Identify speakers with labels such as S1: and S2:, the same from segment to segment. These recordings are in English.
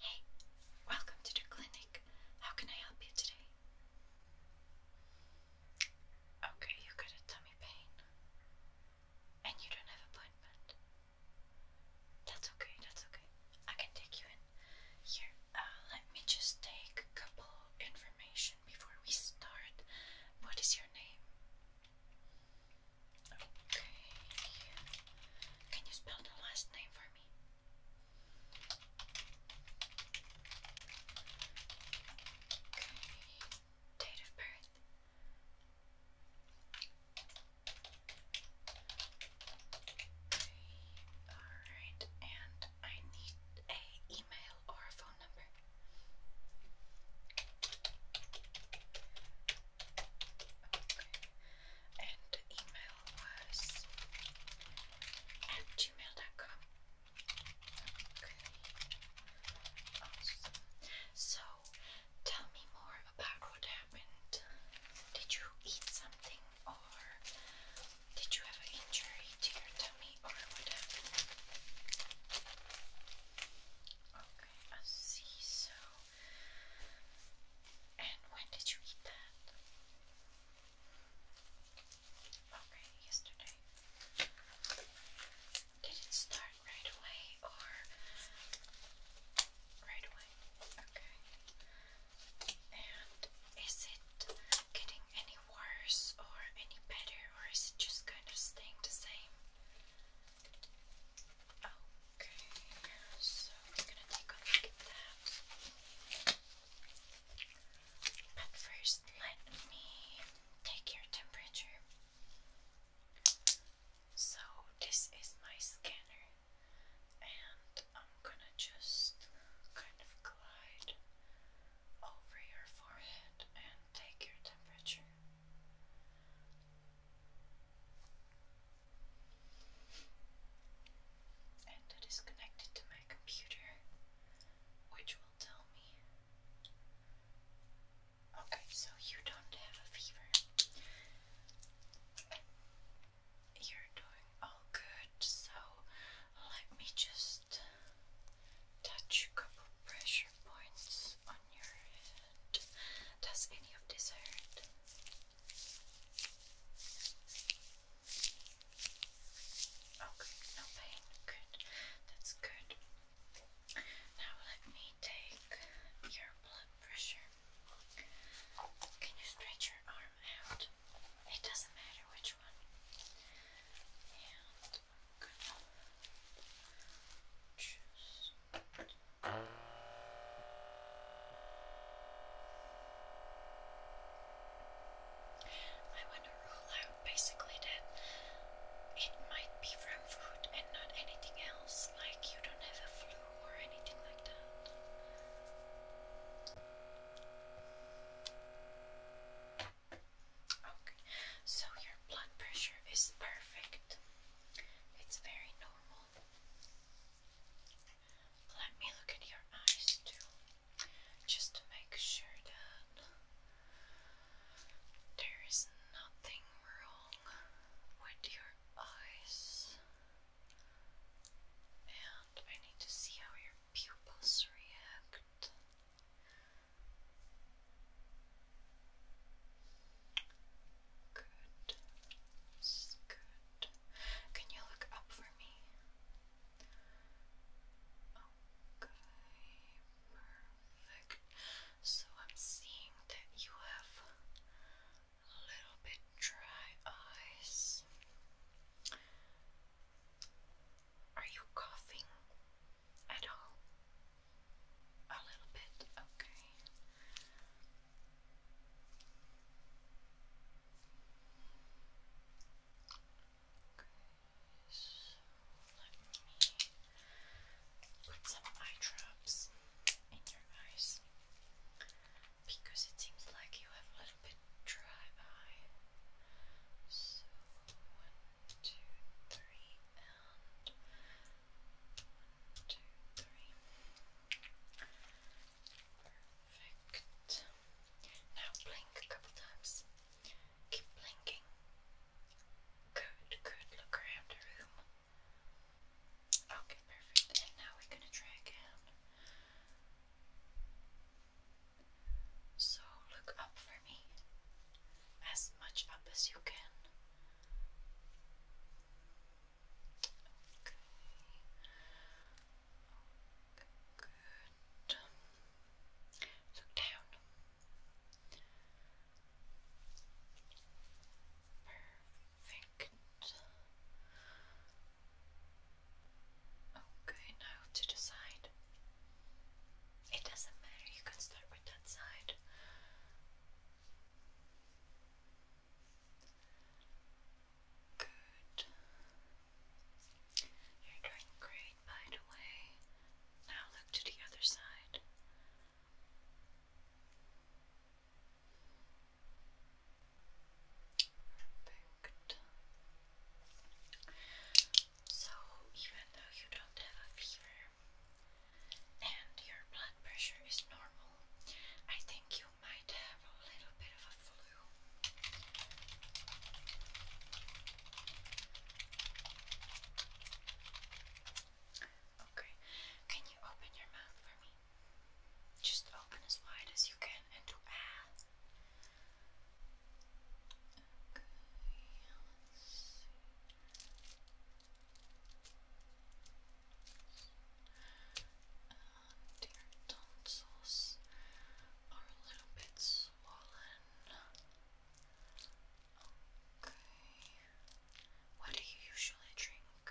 S1: Hey, welcome to the clinic. How can I help you today? Okay, you got a tummy pain. And you don't have appointment. That's okay, that's okay. I can take you in. Here, uh, let me just take a couple information before we start. What is your name? Okay. Can you spell the last name for me? Okay. Date of birth. Okay. Alright, and I need a email or a phone number. Okay. And email was at gmail.com. Okay. So tell me more about what happened. Did you eat something or did you have an injury to your tummy or what Okay, I see. So and when did you eat that? Okay, yesterday. Did it start right away or right away? Okay. And is it getting any worse or any better or is it just kind of staying the same? Okay, so we're gonna take a look at that. But first, let me take your temperature. So, this is my scanner, and I'm gonna just kind of glide over your forehead and take your temperature. And it is connected to my computer, which will tell me. Okay, so you don't have a fever. You're doing all good, so let me just touch a couple pressure points on your head. Does any of this hurt? Okay, no pain. Good. That's good. Now let me take your blood pressure. Can you stretch your arm out? It doesn't matter which one. I want to rule out basically that it might be from food and not anything else, like you don't have a flu or anything like that. Okay, so your blood pressure is perfect. It's very normal. Let me look at your eyes too, just to make sure that there is nothing wrong with your eyes. And I need to see how your pupils react. Good. good. Can you look up for me? Okay, perfect. So I'm seeing that you have a little bit dry eyes. Are you coughing? at all? A little bit, okay. Okay, so let me put some eye drops in your eyes because it seems like you have a little bit dry eye. So, two, three, and one, two, three. Perfect. Now blink a couple times. Keep blinking. Good, good. Look around the room. Okay, perfect. And now we're gonna try again. So look up for me, as much up as you can. Okay. good. Look down. Perfect. Okay, now to the It doesn't matter, you can start with that side. Good. You're doing great, by the way. Now look to the other side booked. So, even though you don't have a fever and your blood pressure is normal, I think you might have a little bit of a flu. Okay, can you open your mouth for me? Just open as wide as you can and do ah. And your tonsils are a little bit swollen. Okay. What do you usually drink?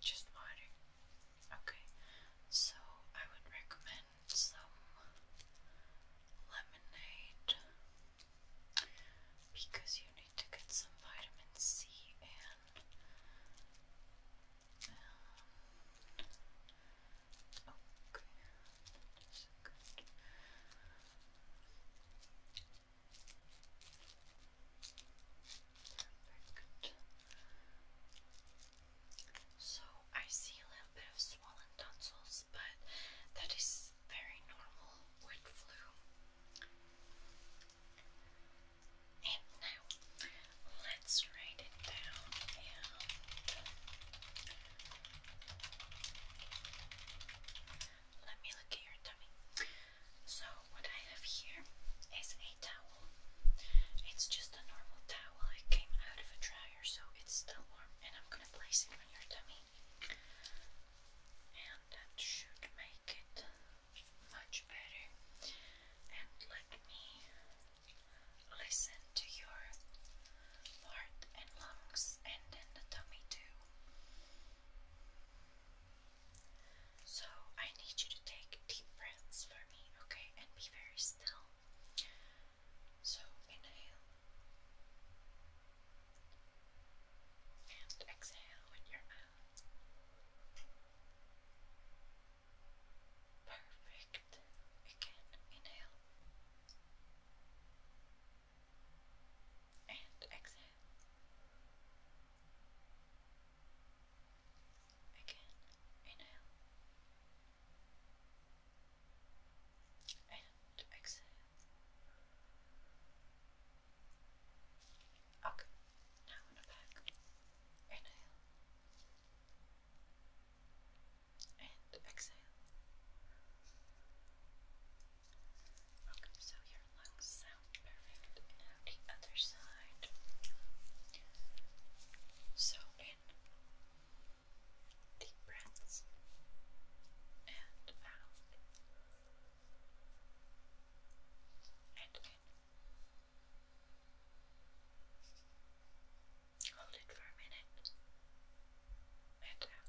S1: Just water. Okay, so I would recommend some lemonade because you need to get some vitamin C and, um, okay, that is good. So I see a little bit of swollen tonsils, but that is very normal with flu. And now let's write it down let me look at your tummy. So, what I have here is a towel. It's just a normal towel, it came out of a dryer, so it's still warm, and I'm gonna place it on your tummy. And that should make it much better. And let me listen to your heart and lungs and then the tummy too. So I need you to take deep breaths for me, okay? And be very still. So inhale and exhale with your mouth. Perfect. Again, inhale and exhale. Again, inhale and exhale. Okay, now on the back, inhale and exhale. Okay, so your lungs sound perfect. Now the other side. So in deep breaths and out. And Hold it for a minute. And out.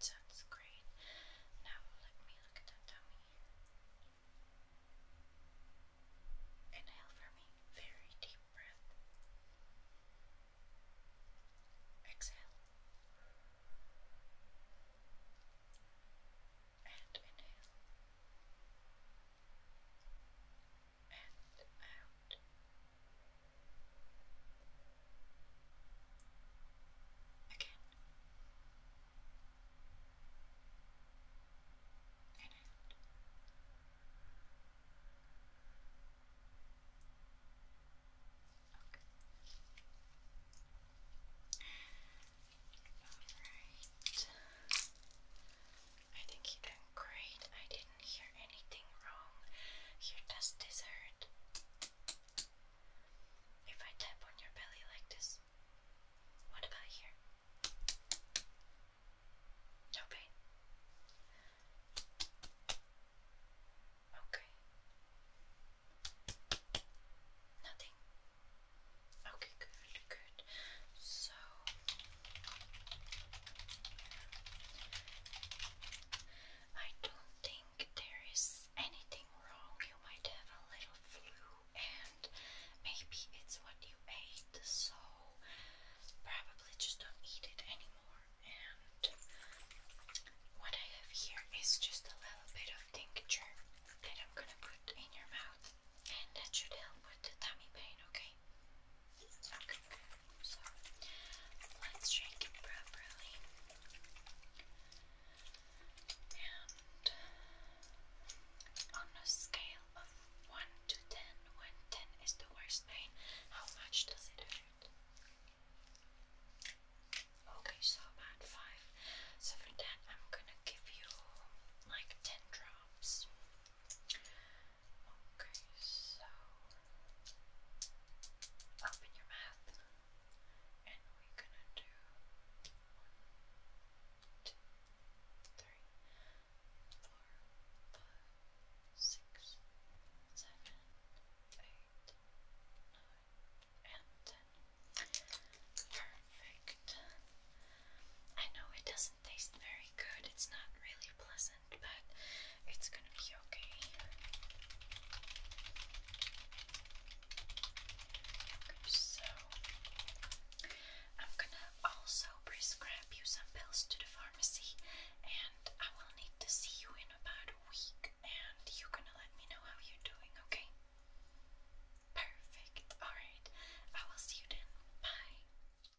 S1: sounds great. Now let me look at that tummy. Inhale for me. Very deep breath. Exhale. And inhale. And out. Again. And Okay. Alright. I think you done great. I didn't hear anything wrong. Your test is if I tap on your belly like this, what about here? No pain. Okay. Nothing. Okay, good, good. So I don't think there is anything wrong. You might have a little flu, and maybe it's what you ate, so probably just don't eat it anymore. And what I have here is just a little bit of tincture that I'm gonna put in your mouth, and that should help with the tummy pain, okay? let's drink it properly. And on a scale of 1 to 10, is the worst pain, how much does it hurt? Okay, so about 5. So for that, I'm gonna give you like 10 drops. Okay, so open your mouth, and we're gonna do one, two, three, four, five, six, seven, eight, nine, and ten. Perfect. I know it doesn't taste very good, it's not really pleasant but it's gonna be okay. so I'm gonna also prescribe you some pills to the pharmacy, and I will need to see you in about a week, and you're gonna let me know how you're doing, okay? Perfect. Alright, I will see you then. Bye.